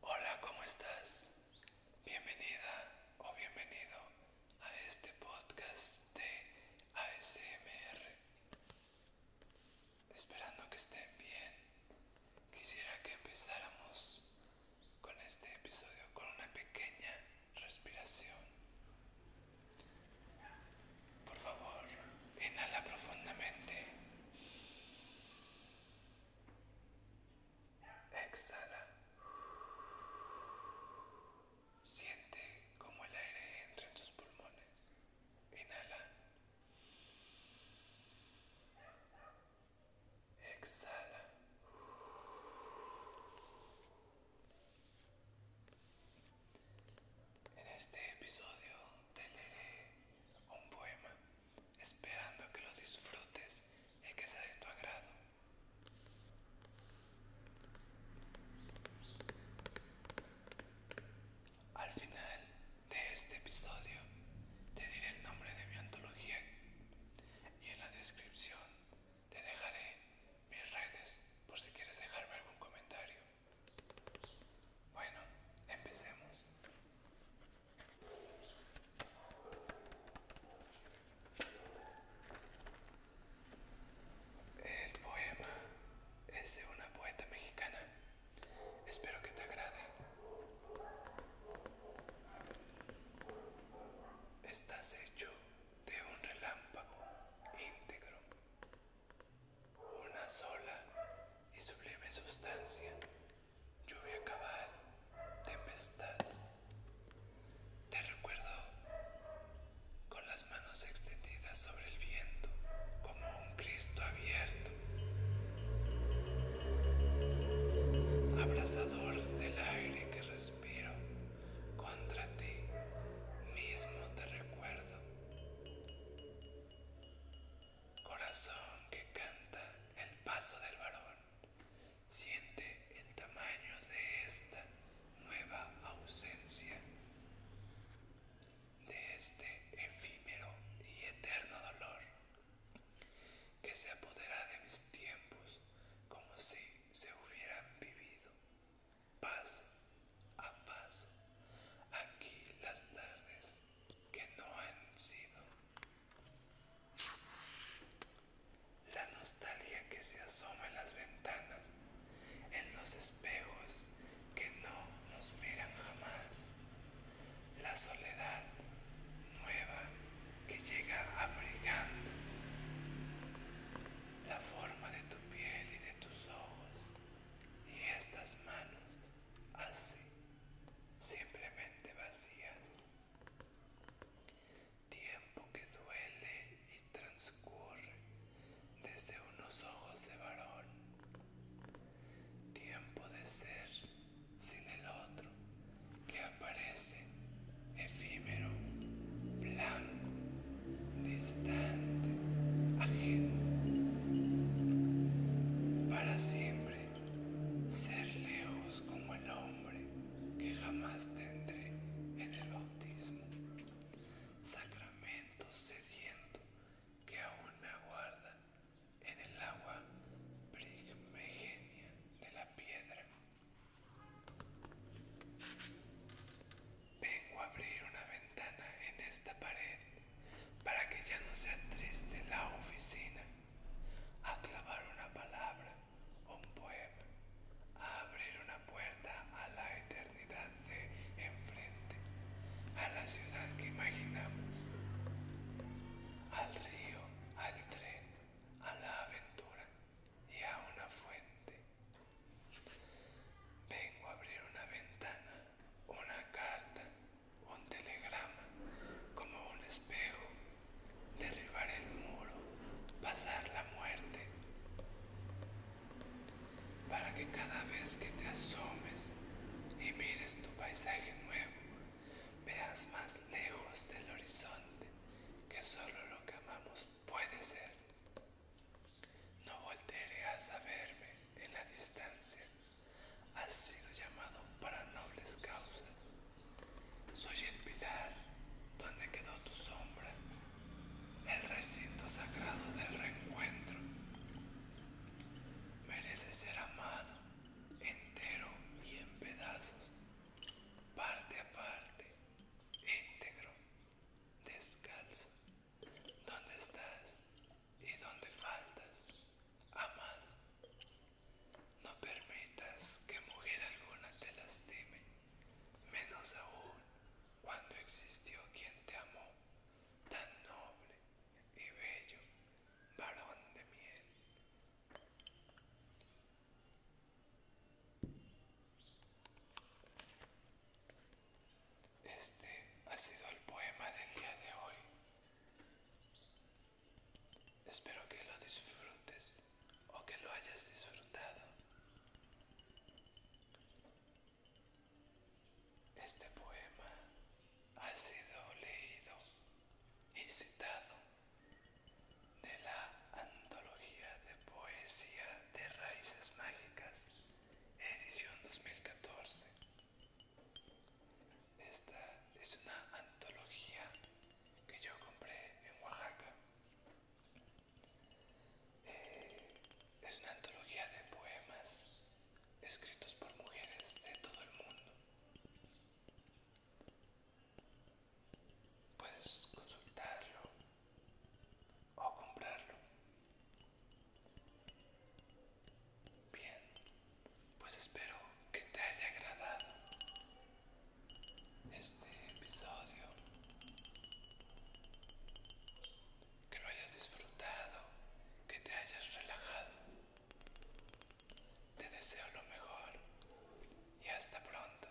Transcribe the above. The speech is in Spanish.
Hola, ¿cómo estás? Bienvenida o bienvenido a este podcast de ASMR. Esperando que estén bien, quisiera que empezáramos con este episodio con una pequeña respiración. Por favor, inhala profundamente. Exhala. Siente cómo el aire entra en tus pulmones. Inhala. Exhala. En este episodio te leeré un poema, esperando que lo disfrutes y que sea de tu agrado. Al final de este episodio te diré el nombre de mi antología y en la descripción te dejaré mis redes por si quieres dejarme algún comentario. Bueno, empecemos. El poema es de una poeta mexicana. Espero que te agrade. Estás hecho de un relámpago íntegro una sola y sublime sustancia, lluvia cabal, tempestad. Te recuerdo con las manos extendidas sobre el viento, como un Cristo abierto, abrazador del aire que respiro contra ti mismo te recuerdo. Corazón que canta el paso del varón, siente el tamaño de esta nueva ausencia, de este efímero y eterno dolor que se apodera de mis tiempos como si se hubieran vivido. Paso a paso aquí las tardes que no han sido. La nostalgia que se asoma en las ventanas, en los espejos que no nos miran jamás. La soledad nueva que llega abrigando la forma de tu piel y de tus ojos y estas manos así, simplemente vacías. Tiempo que duele y transcurre desde unos ojos de varón. Tiempo de ser sin el otro que aparece efímero, blanco distante, ajeno, para siempre ser lejos como el hombre que jamás tendré en el bautismo, sacramento sediento que aún me aguarda en el agua primigenia de la piedra. Vengo a abrir una ventana en esta pared para que ya no sea triste la oficina. A clavar una palabra, un poema, a abrir una puerta a la eternidad de enfrente, a la ciudad que imaginamos, al río, al tren, a la aventura y a una fuente. Vengo a abrir una ventana, una carta, un telegrama, como un espejo, derribar el muro, pasar la muerte, para que cada vez que te asomes y mires tu paisaje nuevo, veas más lejos del horizonte que solo lo que amamos puede ser. No volveré a saberme en la distancia. Has sido llamado para nobles causas. Soy el pilar donde quedó tu sombra, el recinto sagrado del reencuentro. Mereces ser amado entero y en pedazos, parte a parte, íntegro, descalzo dónde estás y dónde faltas, amado? No permitas que mujer alguna te lastime, menos aún cuando existió quien te amó, tan noble y bello, varón de miel. Este ha sido el poema del día de hoy. Espero que lo disfrutes o que lo hayas disfrutado. Este poema ha sido leído y citado de la antología de poesía de raíces mágicas edición 2014. Esta es una antología que yo compré en Oaxaca. Eh, es una antología de poemas escritos por mujeres de todo el mundo. Puedes consultarlo o comprarlo. Bien, pues espero que te haya agradado este episodio, que lo hayas disfrutado, que te hayas relajado. Te deseo lo mejor y hasta pronto.